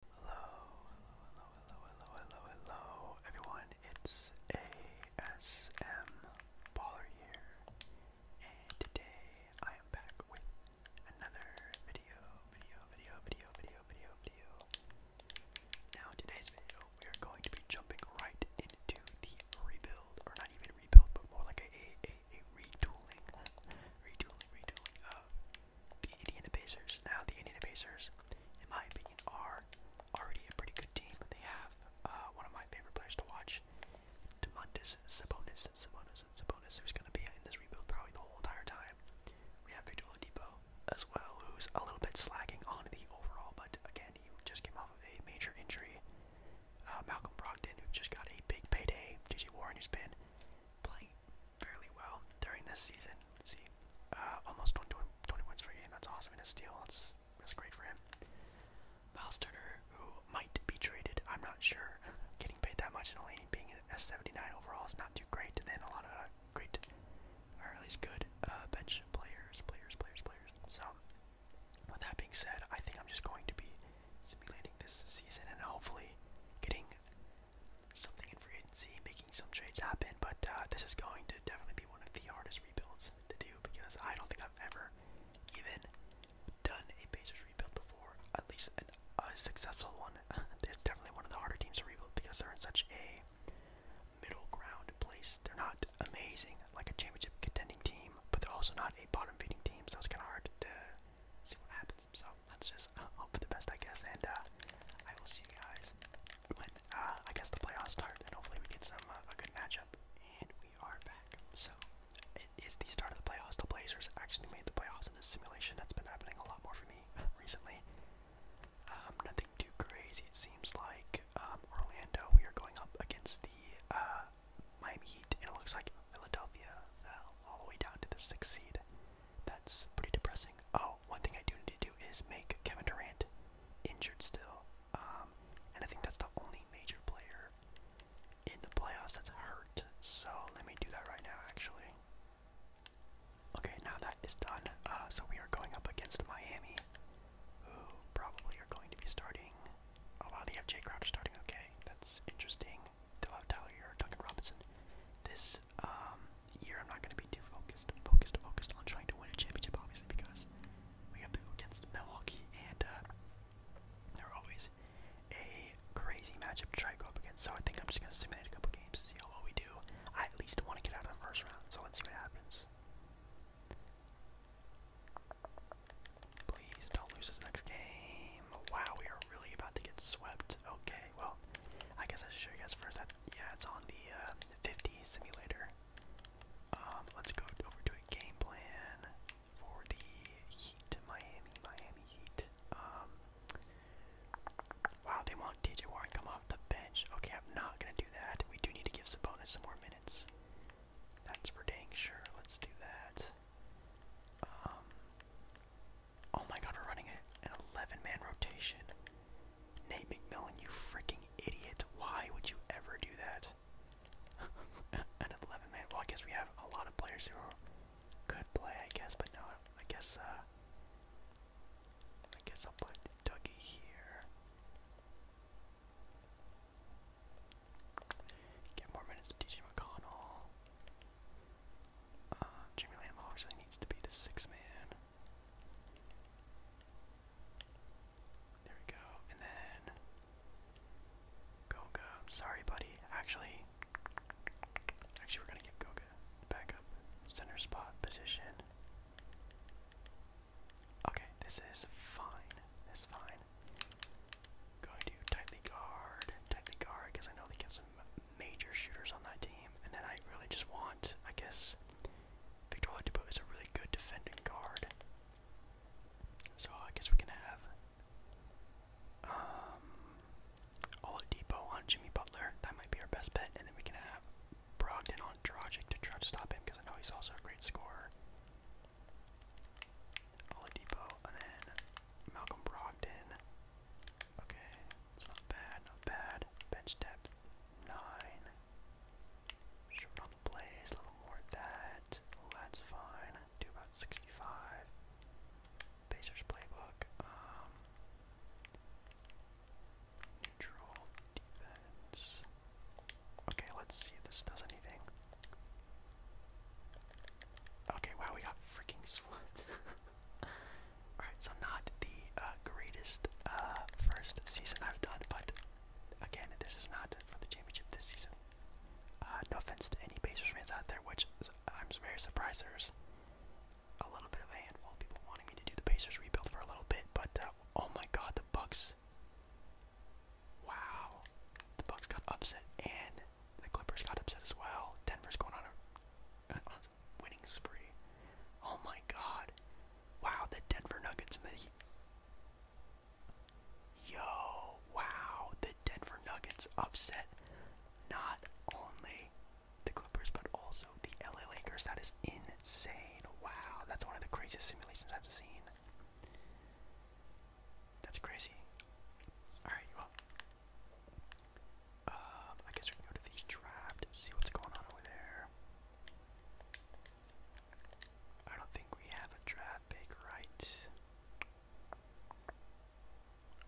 Hello, hello, hello, hello, hello, hello, everyone. It's ASM Baller here, and today I am back with another video, video, video, video, video, video, video. Now, today's video, we are going to be jumping right into the rebuild, or not even rebuild, but more like a a a, retooling, retooling, retooling the Indiana Pacers. Now, the Indiana Pacers, in my opinion, are already a pretty good team. They have uh, one of my favorite players to watch, Demontis Sabonis. Sabonis, Sabonis, who's going to be in this rebuild probably the whole entire time. We have Victor Oladipo as well, who's a little bit slacking on the overall, but again, he just came off of a major injury. Uh, Malcolm Brogdon, who just got a big payday. J.J. Warren, has been playing fairly well during this season. Let's see, uh, almost 20, 20 points per game. That's awesome. in a steal. That's that's great for him. Miles Turner, who might be traded, I'm not sure. Getting paid that much and only being a 79 overall is not too great. And then a lot of great, or at least good, uh, bench players, players, players, players. So, with that being said, I think I'm just going to be simulating this season and hopefully getting something in free agency, making some trades happen. But uh, this is going to definitely be one of the hardest rebuilds to do because I don't think I've ever even done a Pacers rebuild before, at least an, a successful one. They're definitely one of the harder teams to rebuild because they're in such a middle ground place. They're not amazing, like a championship contending team, but they're also not a bottom feeding team, so it's kind of hard to see what happens. So let's just uh, hope for the best, I guess. And uh, I will see you guys when uh, I guess the playoffs start, and hopefully we get some a good matchup. And we are back. So it is the start of the playoffs. The Blazers actually made the playoffs in this simulation. That's been happening a lot more for me recently. Um, nothing too crazy. It seems like um, Orlando. We are going up against the uh, Miami Heat, and it looks like Philadelphia fell all the way down to the sixth seed. That's pretty depressing. Oh, one thing I do need to do is make Kevin Durant injured still. Um, and I think that's the only major player in the playoffs that's hurt. So let me do that right now, actually. Okay, now that is done. Uh, so we are going up against Miami, who probably are going to be starting. Oh wow, they have Jay Crowder starting. Okay, that's interesting. Tyler Hero, Duncan Robinson. This um, year, I'm not going to be too focused, focused, focused on trying to win a championship, obviously, because we have to go against Milwaukee, and uh, they're always a crazy matchup to try to go up against. So I think I'm just going to simulate a couple games to see how well we do. I at least want to get out of the first round, so let's see what happens. Please don't lose this next game. Wow, we are really about to get swept. Okay, well, I guess I should show you guys first that yeah, it's on the uh, 50 simulator. Um, let's go over to a game plan for the Heat, Miami, Miami Heat. Um, wow, they want DJ Warren come off the bench. Okay, I'm not gonna do that. We do need to give Sabonis some more minutes. That's for dang sure. Let's do that. Um, Oh my god, we're running an 11 man rotation. Nate McMillan, you freaking idiot. Why would you ever do that? an 11 man. Well, I guess we have a lot of players who could play, I guess, but no, I guess, uh, I guess I'll put Dougie here. Get more minutes to DJ McConnell. Uh, Jimmy Lamb obviously needs to be the six man. There we go. And then Goga. Sorry, buddy. Actually, actually, we're gonna give Goga back up center spot position. Okay, this is fine. This is fine. Going to tightly guard, tightly guard, because I know they give major shooters on that team, and then I really just want, I guess, Victor Oladipo is a really good defending guard. So I guess we can have um, Oladipo on Jimmy Butler. That might be our best bet, and then we can have Brogden on Dragic to try to stop him because I know he's also a great scorer. Oladipo, and then Malcolm Brogdon. Okay, it's not bad, not bad. Bench depth, 9. Shoot on a little more at that. That's fine. Do about 65. Pacers playbook. Um, neutral defense. Okay, let's see if this does anything. Okay, wow, we got freaking sweat. Alright, so not the uh, greatest uh, first season I've done, but again, this is not for the championship this season. Uh, no offense to any Pacers fans out there, which I'm very surprised there's a little bit of handful people wanting me to do the Pacers rebuild for a little bit, but oh my god, the Bucks. Wow. The Bucks got upset and the Clippers got upset as well. Denver's going uh, on a, winning spree. Oh my god. Wow, the Denver Nuggets and the. Yo, wow. The Denver Nuggets upset not only the Clippers but also the LA Lakers. That is insane. Wow, that's one of the craziest simulations I've seen. That's crazy. Alright, well, um, I guess we can go to the draft and see what's going on over there. I don't think we have a draft pick, right?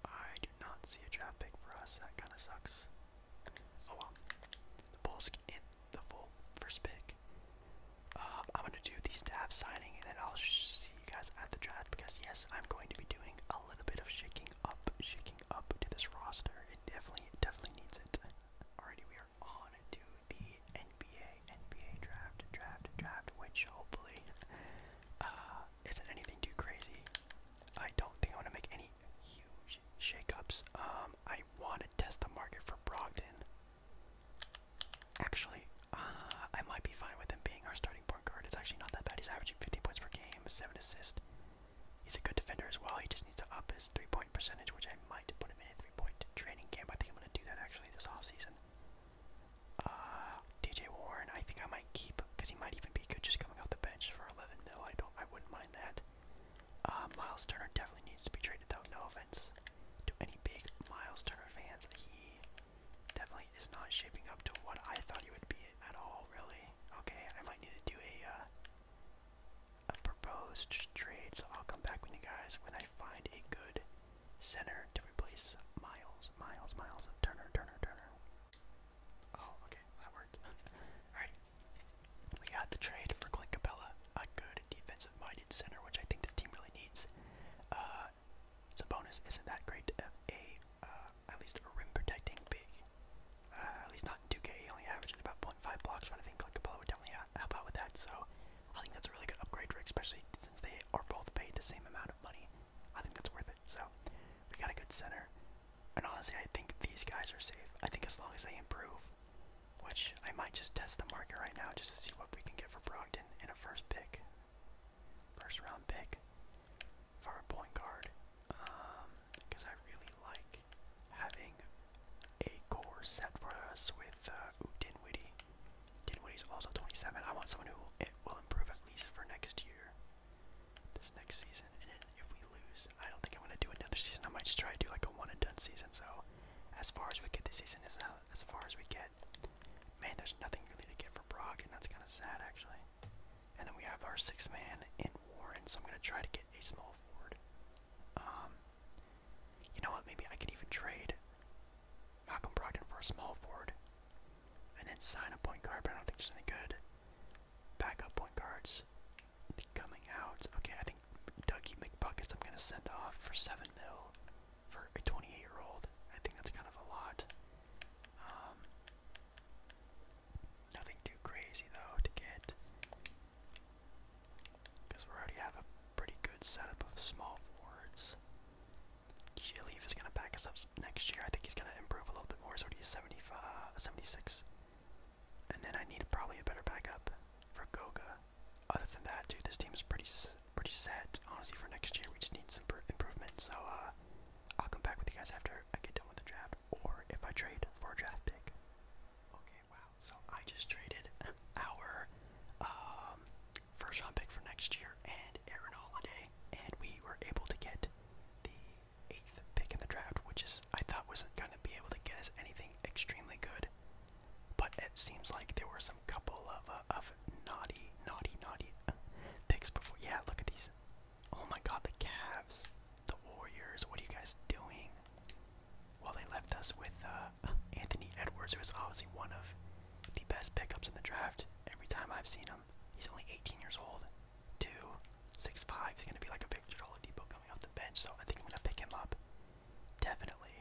I do not see a draft pick for us. That kind of sucks. Oh well. The Bulls get the full first pick. Um, I'm gonna do the staff signing, and then I'll see you guys at the draft because yes, I'm going to be doing a a little bit of shaking up, shaking up to this roster. It definitely, definitely needs it. Alrighty, we are on to the NBA, NBA draft, draft, draft, which hopefully uh, isn't anything too crazy. I don't think I want to make any huge shakeups. Um, I want to test the market for Brogdon. Actually, uh, I might be fine with him being our starting point guard. It's actually not that bad. He's averaging 15 points per game, 7 assists. He's a good defender as well. He just needs to up his three point percentage, which I might put him in a three point training camp. I think I'm going to do that actually this offseason. Uh, DJ Warren, I think I might keep because he might even be good just coming off the bench for 11 mil. I don't, I wouldn't mind that. Uh, Miles Turner definitely needs to be traded though. No offense to any big Miles Turner fans. He definitely is not shaping up to what I thought he would be at all, really. Okay, I might need to do a, uh, a proposed trade, so I'll come back with you guys when I find a good center to replace Miles, Miles, Miles, Turner, Turner, Turner. Oh, okay, that worked. Alright, we got the trade for Clint Capella, a good defensive-minded center, which I think this team really needs. Uh, uh, bonus isn't that great a, uh, at least a rim protecting pick. Uh, at least not in 2K, he only averages about 0.5 blocks, but I think like Capella would definitely help out with that, so I think that's a really good upgrade, Rick, especially since they are both paid the same amount of money. I think that's worth it, so we got a good center. And honestly, I think these guys are safe. I think as long as they improve, which I might just test the market right now just to see what we can get for Brogdon in a first pick first round pick for a point guard because um, I really like having a core set for us with uh, ooh, Dinwiddie. Dinwiddie's also 27. I want someone who will, it will improve at least for next year, this next season. And then if we lose, I don't think I'm going to do another season. I might just try to do like a one and done season. So as far as we get this season is out, uh, as far as we get. Man, there's nothing really to get for Brock, and that's kind of sad, actually. And then we have our sixth man in Warren, so I'm going to try to get a small Ford. Um, you know what? Maybe I could even trade Malcolm Brogdon for a small forward and then sign a point guard, but I don't think there's any good backup point guards coming out. Okay, I think Dougie McBuckets I'm going to send off for 7 mil for a 28 year old. I think that's kind of a lot. Um, nothing too crazy though to get, because we already have a pretty good setup of small forwards. Gillief is going to back us up next year. I think he's going to improve a little bit more. he's 75, 76. And then I need probably a better backup for Goga. Other than that, dude, this team is pretty pretty set, honestly, for next year. We just need some improvement. So uh, I'll come back with you guys after I get done with the draft, or if I trade for a draft pick. Okay, wow. So I just traded our um, first round pick for next year and Aaron Holiday, and we were able to get the eighth pick in the draft, which is I thought wasn't going to be able to get us anything extremely good, but it seems like there were some couple of of naughty, naughty, naughty picks before. Yeah, look at these. Oh my God, the Cavs, the Warriors. What are you guys doing? Well, they left us with uh, Anthony Edwards, who is obviously one of the best pickups in the draft. Every time I've seen him, he's only 18 years old, two, six, five. He's gonna be like a Victor Oladipo coming off the bench, so I think I'm gonna pick him up, definitely.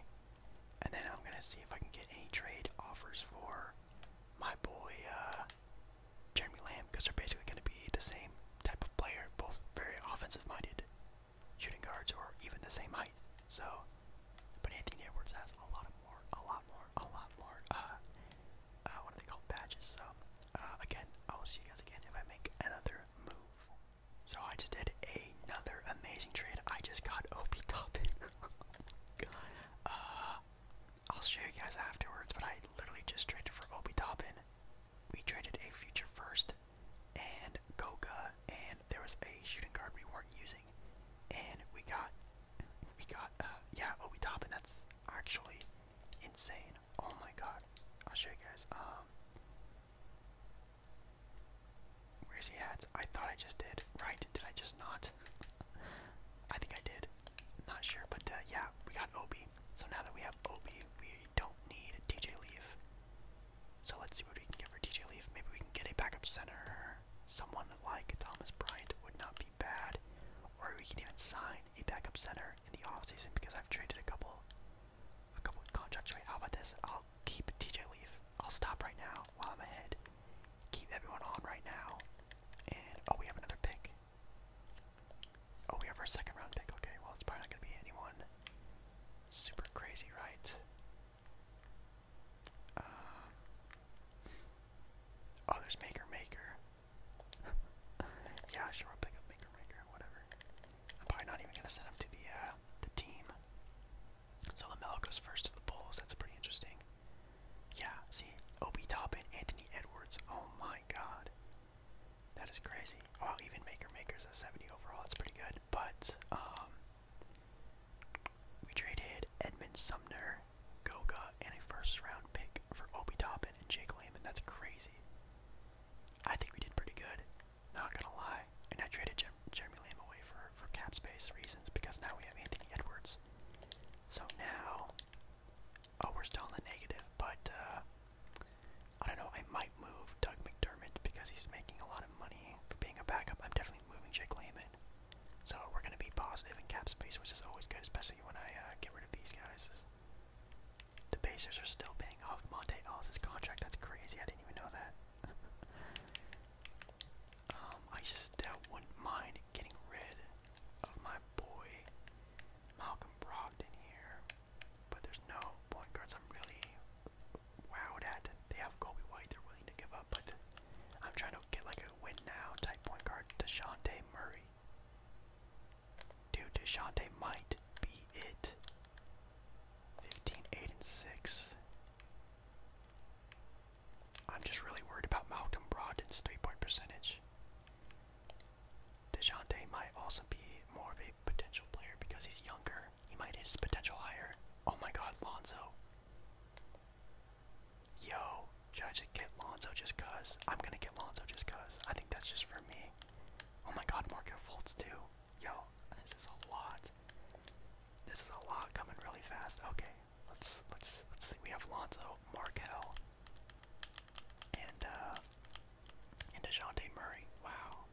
And then I'm gonna see if I can get any trade offers for my boy uh, Jeremy Lamb because they're basically going to be the same type of player, both very offensive-minded shooting guards or even the same height. So, but Anthony Edwards has a lot more, a lot more, a lot more. Uh, uh what are they called? Badges. So, uh, again, I will see you guys again if I make another move. So I just did another amazing trade. I just got Obi Toppin. Uh, I'll show you guys afterwards, but I literally just traded for Obi Toppin. We traded a future first and Goga, and there was a shooting guard we weren't using, and we got, we got, uh, yeah, Obi Toppin. That's actually insane. Oh my god! I'll show you guys. Um, Where's he at? I thought I just did. Right? Did I just not? I think I did. Not sure, but uh, yeah, we got Obi. So now that we have Obi, we don't need DJ Leaf. So let's see what we can get for DJ Leaf. Maybe we can get a backup center. Someone like Thomas Bryant would not be bad. Or we can even sign a backup center in the off-season because I've traded a couple a couple contracts away. How about this? I'll keep DJ Leaf. I'll stop right now while I'm ahead keep everyone on right now. And oh, we have another pick. Oh, we have our second round pick. Okay, well, it's probably not going to be anyone super crazy, right? Um, oh, there's Maker Maker. yeah, sure, I'll pick up Maker Maker, whatever. I'm probably not even going to send him to the, uh, the team. So Lamelo goes first to the Bulls. That's pretty interesting. Yeah, see, Obi Toppin, Anthony Edwards. Oh my God, that is crazy. Oh, even Maker Maker's a 70 overall. That's pretty good. But um, we traded Edmund Sumner, Goga, and a first-round pick for Obi Toppin and Jake Lehman. That's crazy. I think we did pretty good. Not gonna lie. And I traded Jeremy Lamb away for for, cap space reasons because now we have Anthony Edwards. So now, oh, we're still in negative, but uh, I don't know, I might move Doug McDermott because he's making a lot of money for being a backup. I'm definitely moving Jake Lehman. So we're going to be positive in cap space, which is always good, especially when I uh, get rid of these guys. The Pacers are still paying off Monte Ellis' contract. That's crazy. I didn't even know that. Um, I still wouldn't mind getting rid of my boy Malcolm Brogdon here, but there's no point guards I'm really wowed at. They have Kobe White, they're willing to give up, but I'm trying to get like a win now type point guard, Deshante Murray. Dude, Deshante might be it. 15, 8, and 6. I'm just really worried about Malcolm Brogdon's three-point percentage. DeJounte might also be more of a potential player because he's younger. He might hit his potential higher. Oh my god, Lonzo. Yo, should I just get Lonzo just i I'm gonna get Lonzo just I think that's just for me. Oh my god, Marco too. Yo, this is a lot. This is a lot coming really fast. Okay, let's let's let's see. We have Lonzo, Markel, and uh, and Dejounte Murray. Wow.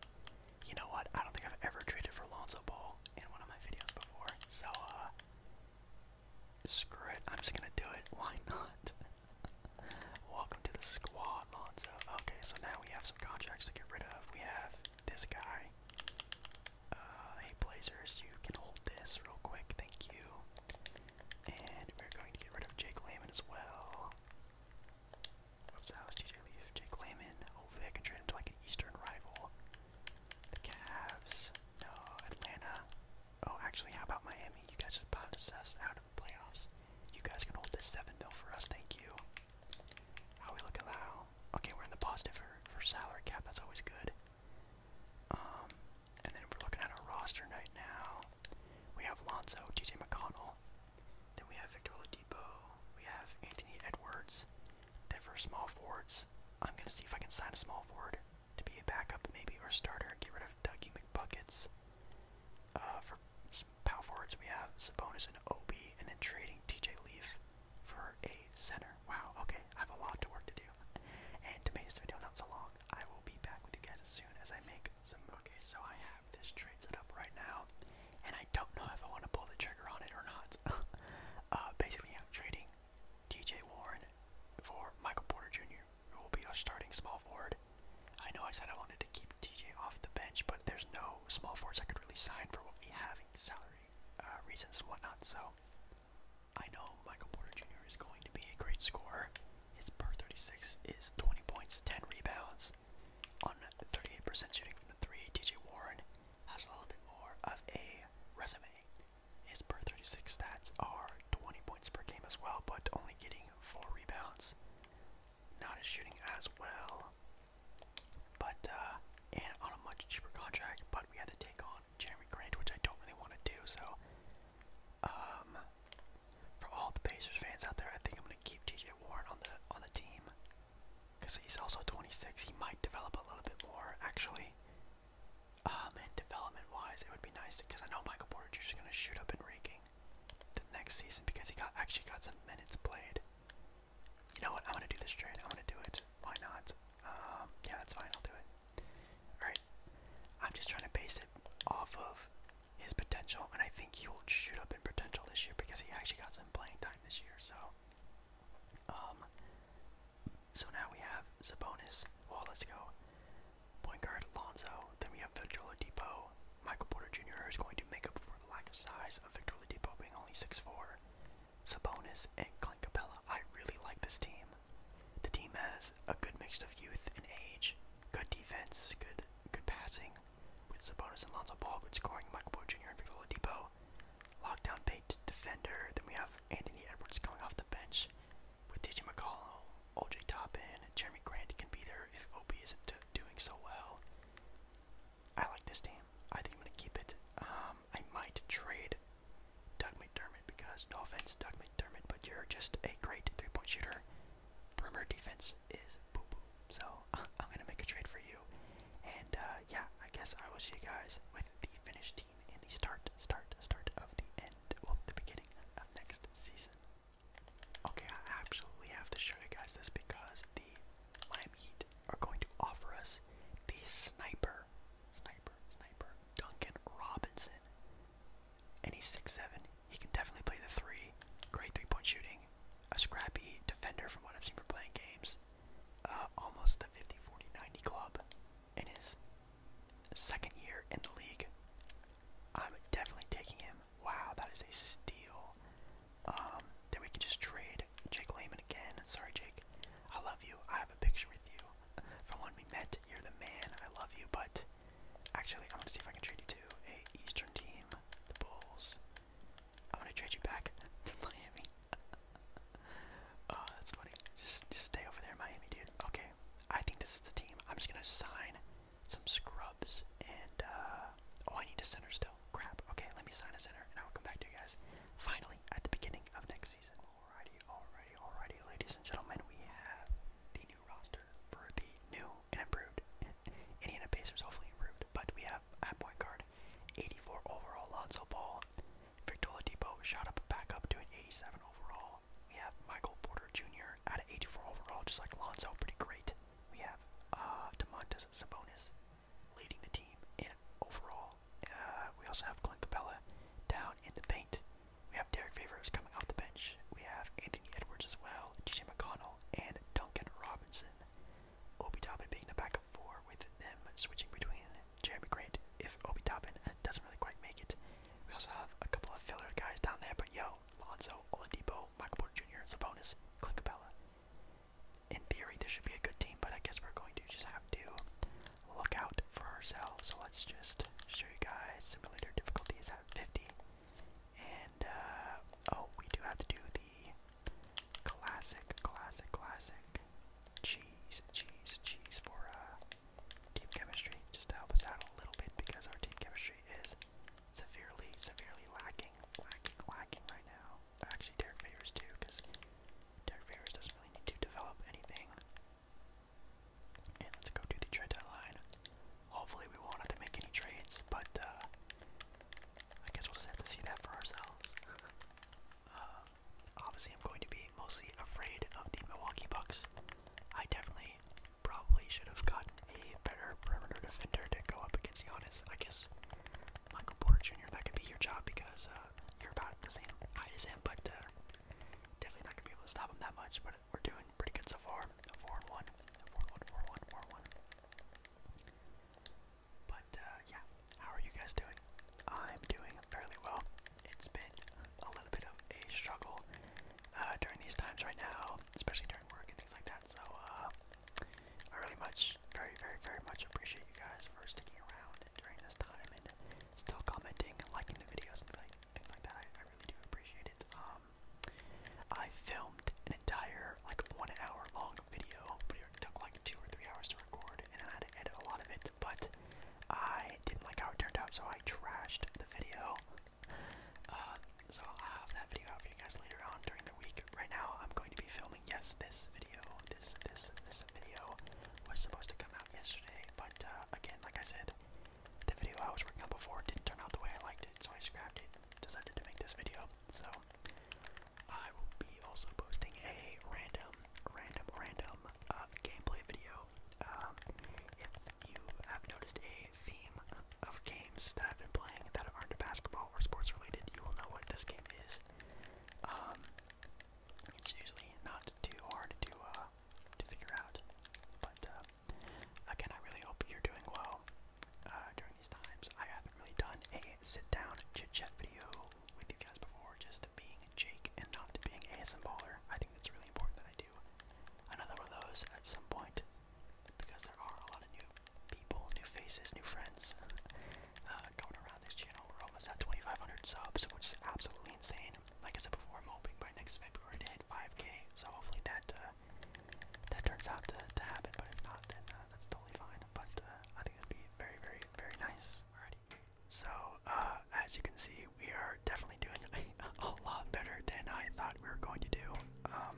You know what? I don't think I've ever traded for Lonzo Ball in one of my videos before. So uh, screw it. I'm just gonna do it. Why not? Welcome to the squad, Lonzo. Okay, so now we have some contracts to get rid of. We have this guy. Uh, hey Blazers, you can hold this real quick, thank you. And we're going to get rid of Jake Lehman as well. Whoops, that was TJ Leaf. Jake Lehman. Hopefully I can trade him like an Eastern rival. The Cavs. No, Atlanta. Oh, actually, how about Miami? You guys just bounced us out of playoffs. You guys can hold this 7 though for us, thank you. How we look at Okay, we're in the positive for, for salary cap. That's always good. Um, and then we're looking at our roster right now. We have Lonzo, TJ McConnell. Then we have Victor Oladipo. We have Anthony Edwards. Then for small forwards, I'm going to see if I can sign a small forward to be a backup maybe or starter and get rid of Dougie McBuckets. Uh, for power forwards, we have Sabonis and Obi, and then trading TJ Leaf for a center. Wow, okay, I have a lot to work to do. And to make this video not so long, I will be back with you guys as soon as I make some. Okay, so I have this trade set up right now, and I don't know if I want to pull the trigger on it or not. uh, basically, I'm trading TJ Warren for Michael Porter Jr., who will be our starting small forward. I know I said I wanted to keep TJ off the bench, but there's no small forwards I could really sign for what we have in salary uh, reasons and whatnot. So I know Michael Porter Jr. is going to be a great scorer. His per 36 is 20 points, 10 rebounds on 38% shooting from the three. TJ Warren has a little bit more of a resume. His per 36 stats are 20 points per game as well, but only getting four rebounds. Not as shooting as well. But uh, and on a much cheaper contract, but we had to take on Jeremy Grant, which I don't really want to do. So, um, for all the Pacers fans out there, I think I'm gonna keep T.J. Warren on the on the team because he's also 26. He might develop a little bit more actually. Um, and development-wise, it would be nice because I know Michael Porter Jr. is gonna shoot up in ranking the next season because he got actually got some minutes played. You know what? I want to do this trade. I want to do it. Why not? Um, yeah, that's fine. I'll do it. Alright. I'm just trying to base it off of his potential, and I think he will shoot up in potential this year because he actually got some playing time this year. So, um, so now we have Sabonis, let's go point guard Lonzo. Then we have Victor Oladipo, Michael Porter Jr. is going to make up for the lack of size of Victor Oladipo being only 6'4", Sabonis, and Clint Capella. I really like this team. The team has a good mix of youth and age, good defense, good good passing, with Sabonis and Lonzo Ball, good scoring, Michael Porter Jr. and Victor Oladipo. Lockdown paid defender. Then we have Anthony Edwards coming off the bench with DJ McCollum, OJ Toppin, Jeremy Grant can be there if Obi isn't doing so well. I like this team. I think I'm gonna keep it. Um, I might trade Doug McDermott because no offense, Doug McDermott, but you're just a great three-point shooter. Perimeter defense is boo boo. So I'm gonna make a trade for you. And uh, yeah, I guess I will see you guys with the finished team in the start, start, start of the end, well, the beginning of next season. Okay, I absolutely have to show you guys this because the lime Heat are going to offer us the sniper, sniper, sniper, Duncan Robinson. And he's seven. He can definitely play the three. Great three point shooting. A scrappy defender from what I've seen for playing games. Uh, almost the 50 40 90 club in his second year in the league. I'm definitely taking him. Wow, that is a steal. Um, then we can just trade Jake Lehman again. Sorry, Jake. I love you. I have a picture with you from when we met. You're the man. I love you, but actually, I'm gonna see if I can trade you to a Eastern team, the Bulls. I'm gonna trade you back to Miami. oh, that's funny. Just, just stay over there, Miami, dude. Okay, I think this is the team. I'm just gonna sign some scrubs, and uh, oh, I need a center still crap. Okay, let me sign a center, and I'll come back to you guys finally at the beginning of next season. Alrighty, alrighty, alrighty, ladies and gentlemen, we have the new roster for the new and improved Indiana Pacers, hopefully improved. But we have at point guard, 84 overall, Lonzo Ball. Victor Depot shot up back up to an 87 overall. We have Michael Porter Jr. at an 84 overall, just like Lonzo, pretty great. We have uh, DeMontis Sabonis leading the team in overall. Uh, we also have Clint Capella down in the paint. We have Derek Favors coming off the bench. We have Anthony Edwards as well, G.J. McConnell, and Duncan Robinson. Obi Toppin being the backup four with them switching between Jeremy Grant if Obi Toppin doesn't really quite make it. We also have a couple of filler guys down there, but yo, Lonzo, Oladipo, Michael Porter Jr., bonus. Clint Capella in theory, this should be a good team, but I guess we're going to just have to look out for ourselves. So let's just show you guys simulator difficulty is at 50. And, uh, oh, we do have to do the classic, classic, classic cheese, cheese, cheese for uh, team chemistry, just to help us out a little bit because our team chemistry is severely, severely lacking, lacking, lacking right now actually Derek too, because Derek doesn't really need to develop anything. And let's go do the trade deadline. Hopefully we won't have to make any trades, but uh, I guess we'll just have to see that for ourselves. Uh, obviously I'm going to be mostly afraid of the Milwaukee Bucks. I definitely probably should have gotten a better perimeter defender to go up against the Giannis. I guess Michael Porter Jr. That could be your job because uh, you're about the same height as him, but uh, definitely not gonna be able to stop him that much. But we're doing pretty good so far. Four and one, But yeah, how are you guys doing? I'm doing fairly well. It's been a little bit of a struggle uh, during these times right now, especially during work and things like that. So. I really much, very, very, very much appreciate you guys for sticking around during this time and still commenting and liking the videos and like, things like that. I, I really do appreciate it. Um, I filmed an entire like one hour long video, but it took like two or three hours to record, and I had to edit a lot of it. But I didn't like how it turned out, so I trashed the video. Uh, so I'll have that video out for you guys later on during the week. Right now, I'm going to be filming. Yes, this video, this this this video was supposed to come out yesterday, but uh, again, like I said, the video I was working on before didn't turn out the way I liked it, so I scrapped it. Decided to make this video. So I will be also posting a random, random, random uh, gameplay video. Um, if you have noticed a theme of games that I've been playing that aren't basketball or sports related, you will know what this game is. Um, it's usually not too hard to uh, to figure out. But uh, again, I really hope you're doing well uh, during these times. I haven't really done a sit-down chit-chat video with you guys before, just being Jake and not being ASM baller. I think that's really important that I do another one of those at some point because there are a lot of new people, new faces, new friends uh, around this channel. We're almost at 2,500 subs, which is absolutely insane. Like I said before, I'm hoping by next February to hit 5K. So hopefully that uh, that turns out to, to happen. But if not, then uh, that's totally fine. But uh, I think that'd be very, very, very nice. Alrighty. So as you can see, we are definitely doing a, lot better than I thought we were going to do. Um,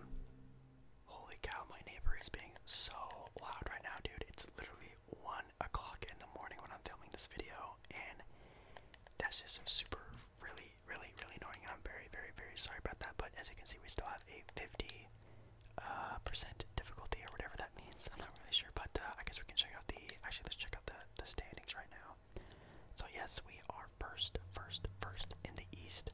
Holy cow, my neighbor is being so loud right now, dude. It's literally 1 o'clock in the morning when I'm filming this video, and that's just super, really, really, really annoying. I'm very, very, very sorry about that, but as you can see, we still have a 50% uh, difficulty or whatever that means. I'm not really sure, but uh, I guess we can check out the, actually, let's check out the, the standings right now. So yes, we are first, first, first in the East.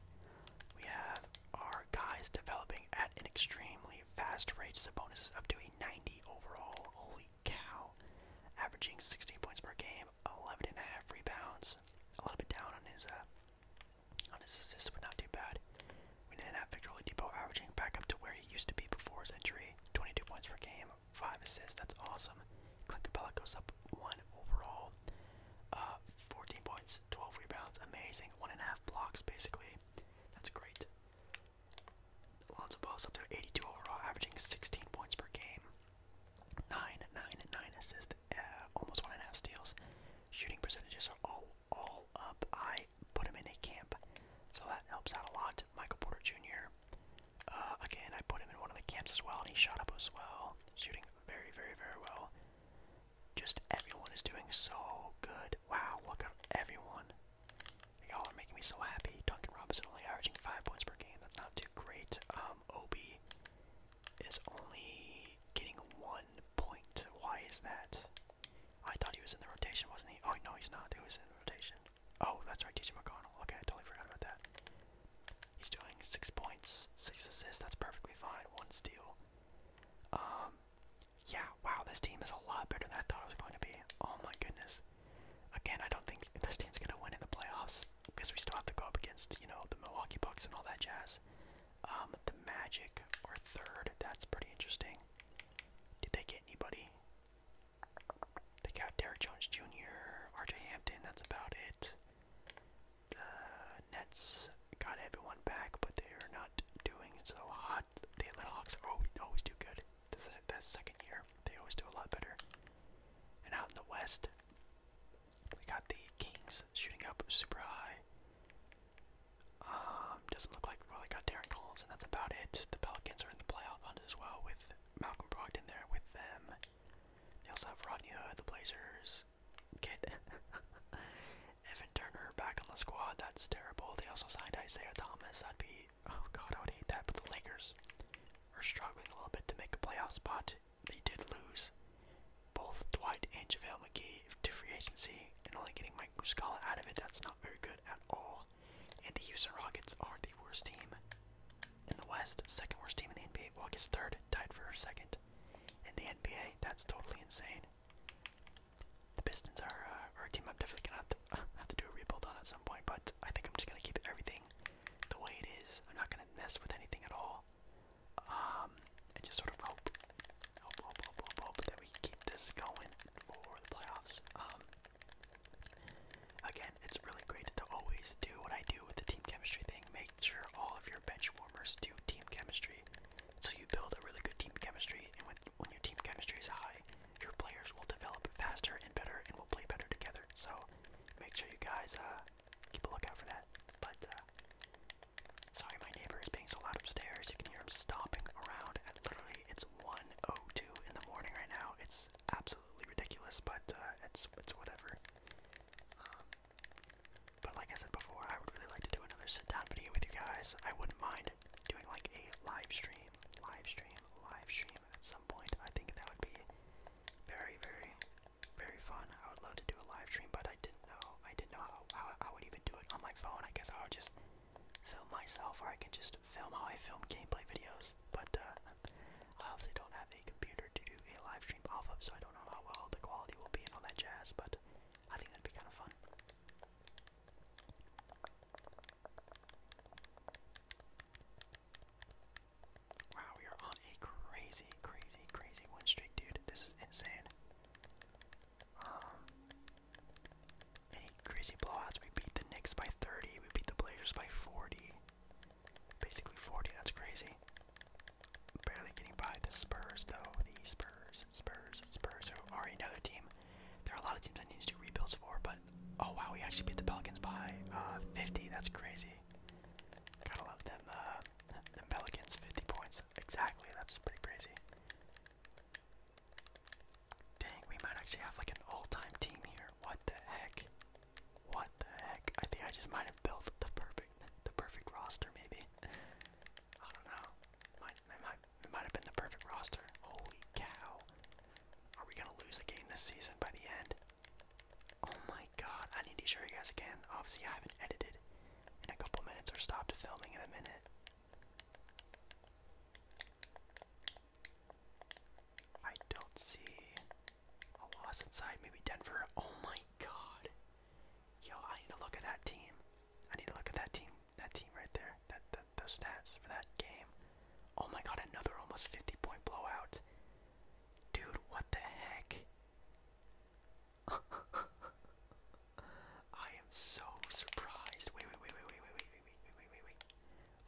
We have our guys developing at an extremely fast rate. Sabonis is up to a 90 overall. Holy cow. Averaging 16 points per game, 11 and a half rebounds. A little bit down on his uh, on his assists, but not too bad. We then have Victor Oladipo averaging back up to where he used to be before his injury. 22 points per game, 5 assists. That's awesome. Clint Capella goes up 1 overall. Uh, 14 points, 12 rebounds, amazing. One and a half blocks, basically. That's great. Lonzo Ball's up to 82 overall, averaging 16 points per game. Nine, nine, nine assists, uh, almost one and a half steals. Shooting percentages are all all up. I put him in a camp, so that helps out a lot. Michael Porter Jr. Uh, again, I put him in one of the camps as well, and he shot up as well, shooting very, very, very well. Just everyone is doing so good. Wow, look at everyone. Y'all are making me so happy. Duncan Robinson only averaging five points per game. That's not too great. Um, Obi is only getting one point. Why is that? I thought he was in the rotation, wasn't he? Oh no, he's not. He was in the rotation? Oh, that's right, TJ McConnell. Okay, I totally forgot about that. He's doing six points, six assists. That's perfectly fine. One steal. Um, yeah, wow, this team is a lot better than I thought it was going to be. Oh my goodness. Again, I don't think this team's going to win in the playoffs because we still have to go up against, you know, the Milwaukee Bucks and all that jazz. Um, the Magic are third. That's pretty interesting. Did they get anybody? They got Derek Jones Jr., RJ Hampton, that's about it. The Nets got everyone back, but they are not doing so hot. The Atlanta always, do good. that second year. They always do a lot better. And out in the West, we got the Kings shooting up super high. Um, doesn't look like well they got Darren Collins and that's about it. The Pelicans are in the playoff hunt as well with Malcolm Brogdon there with them. They also have Rodney Hood, the Blazers, Get Evan Turner back on the squad. That's terrible. They also signed Isaiah Thomas. i would be oh god, I would hate that. But the Lakers are struggling a little bit to make a playoff spot. They did lose both Dwight and JaVale McGee to free agency, and only getting Mike Muscala out of it. That's not very good at all. And the Houston Rockets are the worst team in the West, second worst team in the NBA. Well, third tied for second. In the NBA, that's totally insane. The Pistons are, uh, team I'm definitely gonna have to, do a rebuild on at some point, but I think I'm just gonna keep everything the way it is. I'm not gonna mess with anything at all. Um, and just sort of hope, hope, hope, hope, hope, hope that we keep this going for the playoffs. Um, again, it's really great to always do what I do with the team chemistry thing, make make sure all of your bench warmers do team chemistry. So you build a really good team chemistry, and when, when your team chemistry is high, your players will develop faster and better and will play better together. So make sure you guys uh, keep a lookout for that. But uh, sorry, my neighbor is being so loud upstairs. You can hear him stomping around. And literally, it's 1:02 in the morning right now. It's absolutely ridiculous, but uh, it's it's whatever. Um, but like I said before, I would really like to do another sit-down video with you guys. I wouldn't mind doing like a live stream, live stream, live stream at some point. I think that would be very, very, very fun. I would love to do a live stream, but I didn't know. I didn't know how, how I would even do it on my phone. I guess I would just film myself, or I can just film how I film gameplay videos. But uh, I obviously don't have computer to do a live stream off of, so I don't know how well the quality will be and all that jazz, but I think that'd be kind of fun. Wow, we are on a crazy, crazy, crazy win streak, dude. This is insane. Um, any crazy blowouts? We beat the Knicks by 30. We beat the Blazers by 40. Basically 40. That's crazy barely getting by the Spurs, though. The Spurs, Spurs, Spurs, who are another team. There are a lot of teams I need to do rebuilds for, but oh wow, we actually beat the Pelicans by uh, 50. That's crazy. Gotta love them, uh, The Pelicans, 50 points. Exactly, that's pretty crazy. Dang, we might actually have like an all-time team here. What the heck? What the heck? I think I just might have built the perfect the perfect roster maybe. I don't know. Might might it might have been the perfect roster. Holy cow. Are we gonna lose a game this season by the end? Oh my god, I need to show you guys again. Obviously I haven't edited in a couple minutes or stopped filming in a minute. I don't see a loss inside, maybe Denver. Oh my god. Yo, I need to look at that team. I need to look at that team. That team right there. That, that those stats for that game. Oh my god, another almost 50 point blowout. Dude, what the heck? I am so surprised. Wait, wait, wait, wait, wait, wait, wait, wait, wait, wait, wait,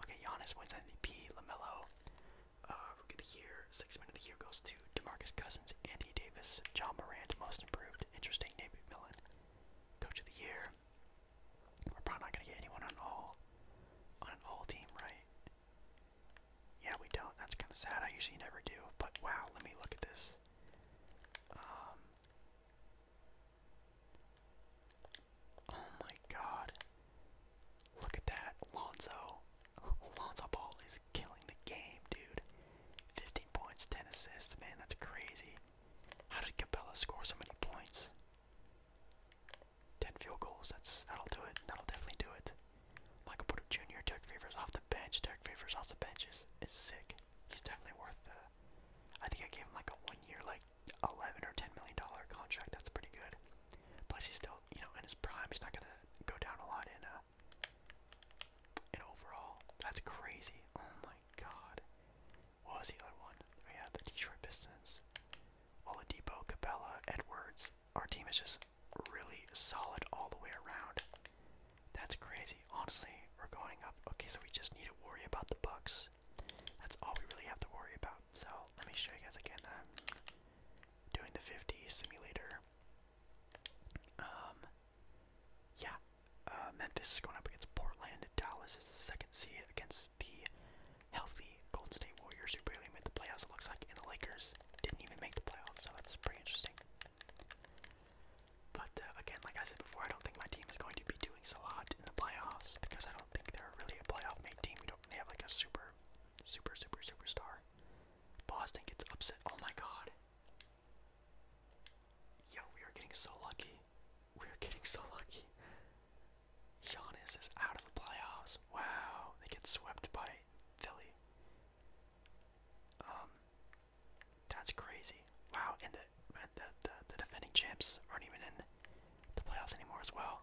Okay, Giannis wins MVP. Lamelo uh, Rookie of the Year, Sixth Man of the Year goes to Demarcus Cousins, Andy Davis, John Morant, Most Improved, interesting, Nate McMillan. Coach of the Year. We're probably not going to get anyone on all on an all team, right? Yeah, we don't. That's kind of sad. I usually never do. But wow, let me look at this. Um, oh my god. Look at that. Lonzo. Lonzo Ball is killing the game, dude. 15 points, 10 assists. Man, that's crazy. How did Capella score so many points? 10 field goals. That's That'll do it. That'll definitely do it. Michael Porter Jr., Dirk Favors off the bench. Dirk Favors off the benches is, sick. He's definitely worth the. I think I gave him like a one year, like 11 or 10 million dollar contract. That's pretty good. Plus, he's still, you know, in his prime. He's not going to go down a lot in uh, an overall. That's crazy. Oh my god. What was the other one? We had the Detroit Pistons. Oladipo, Capella, Edwards. Our team is just really solid all the way around. That's crazy. Honestly, we're going up. Okay, so we just need to worry about the Bucks. That's all we really have to worry about. So let me show you guys again that I'm doing the 50 simulator. Um, yeah, uh, Memphis is going up against Portland. Dallas is the second seed against the healthy Golden State Warriors, who barely made the playoffs. It looks like, and the Lakers didn't even make the playoffs, so it's pretty interesting. But uh, again, like I said before, I don't think my team is going to be doing so hot in the playoffs because I don't think they're really a playoff-made team. We don't. They have like a super, super, super, superstar. Boston gets upset. Oh my god. Yo, we are getting so lucky. We are getting so lucky. Giannis is out of the playoffs. Wow, they get swept by Philly. Um, that's crazy. Wow, and the, the the defending champs aren't even in the playoffs anymore as well.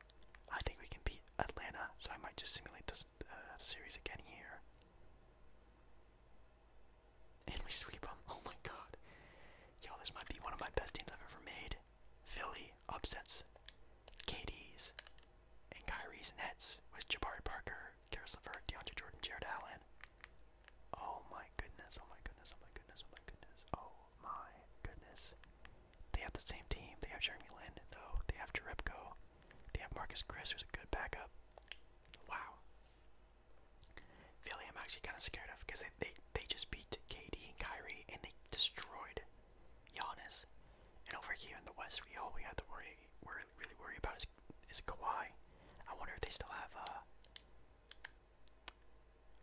I think we can beat Atlanta, so I might just simulate this uh, series again here. And we sweep them. Oh my god. Yo, this might be one of my best teams I've ever made. Philly upsets KD's and Kyrie's Nets with Jabari Parker, Karis LeVert, DeAndre Jordan, Jared Allen. Oh my goodness, oh my goodness, oh my goodness, oh my goodness, oh my goodness. They have the same team. They have Jeremy Lin, though. They have Jarebko. They have Marcus Chris, who's a good backup. Wow. Philly, I'm actually kind of scared of because they, they, they just beat KD and Kyrie and they destroyed Giannis. And over here in the West, we all we have to worry, we're really worry about is, is Kawhi. I wonder if they still have. Uh,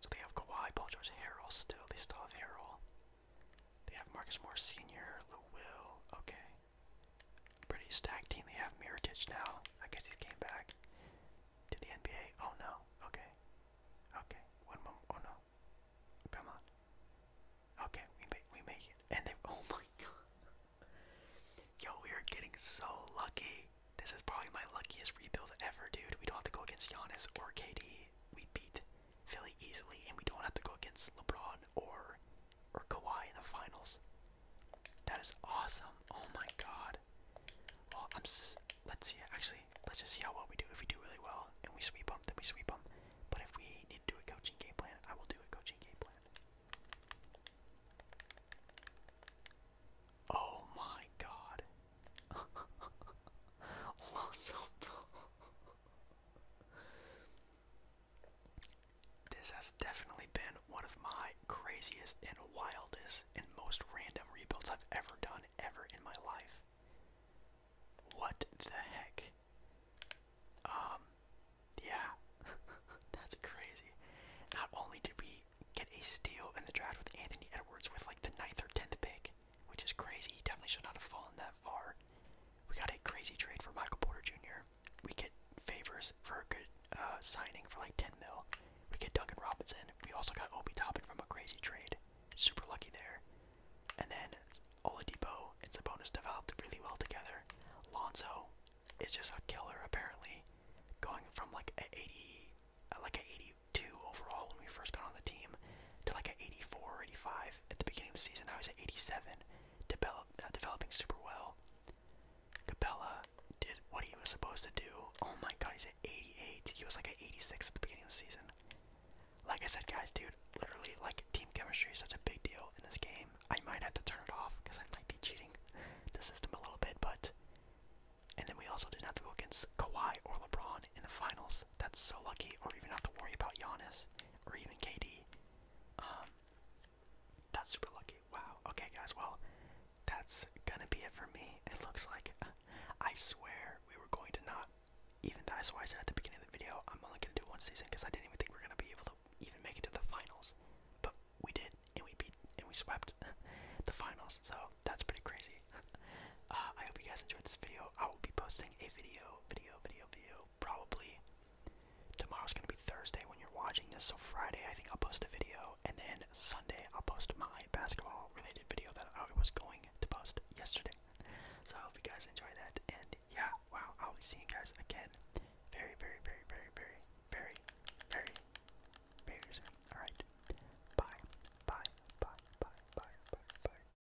so they have Kawhi, Paul George, Harrell. Still, they still have Harrell. They have Marcus Moore Sr., Lou Okay. Pretty stacked team. They have Miritich now. I guess he's came back to the NBA. Oh no. Okay. Okay. One more. Oh no. Come on. Okay, we make we make it. And they oh my god. Yo, we are getting so lucky. This is probably my luckiest rebuild ever, dude. We don't have to go against Giannis or KD. We beat Philly easily, and we don't have to go against LeBron or or Kawhi in the finals. That is awesome. Oh my god. Well, I'm. let's see. Actually, let's just see how well we do. If we do really well and we sweep them, then we sweep them. But if we need to do a coaching game plan, I will do a coaching game plan. Oh my god. Alonzo Ball. This has definitely been one of my craziest and wildest and most random rebuilds I've ever done ever in my life. What the heck? Um, yeah, that's crazy. Not only did we get a steal in the draft with Anthony Edwards with like the ninth or tenth pick, which is crazy. He definitely should not have fallen that far. We got a crazy trade for Michael Porter Jr. We get favors for a good uh, signing for like 10 mil. We get Duncan Robinson. We also got Obi Toppin from a crazy trade. Super lucky there. And then Oladipo a bonus. developed really well together. Lonzo is just a killer apparently, going from like a 80, uh, like a 82 overall when we first got on the team to like a 84, 85 at the beginning of the season. I was at 87, develop, uh, developing super well. Capella did what he was supposed to do. Oh my god, he's at 88. He was like at 86 at the beginning of the season. Like I said, guys, dude, literally, like, team chemistry is such a big deal in this game. I might have to turn it off because I might be cheating the system a little bit, but. And then we also didn't have to go against Kawhi or LeBron in the finals. That's so lucky, or even have to worry about Giannis or even KD. Um, that's super lucky. Wow. Okay, guys. Well, that's gonna be it for me. It looks like. I swear we were going to not. Even that's why I said at the beginning of the video, I'm only gonna do one season because I didn't even think we we're gonna be able to even make it to the finals. But we did, and we beat, and we swept the finals. So that's pretty crazy. Uh, I hope you guys enjoyed this video video. I will be posting a video, video, video, video, probably. Tomorrow's gonna be Thursday when you're watching this, so Friday I think I'll post a video, and then Sunday I'll post my basketball-related video that I was going to post yesterday. So I hope you guys enjoy that, and yeah, wow, I'll be seeing you guys again very, very, very, very, very, very, very, very soon. All right, bye, bye, bye, bye, bye, bye, bye.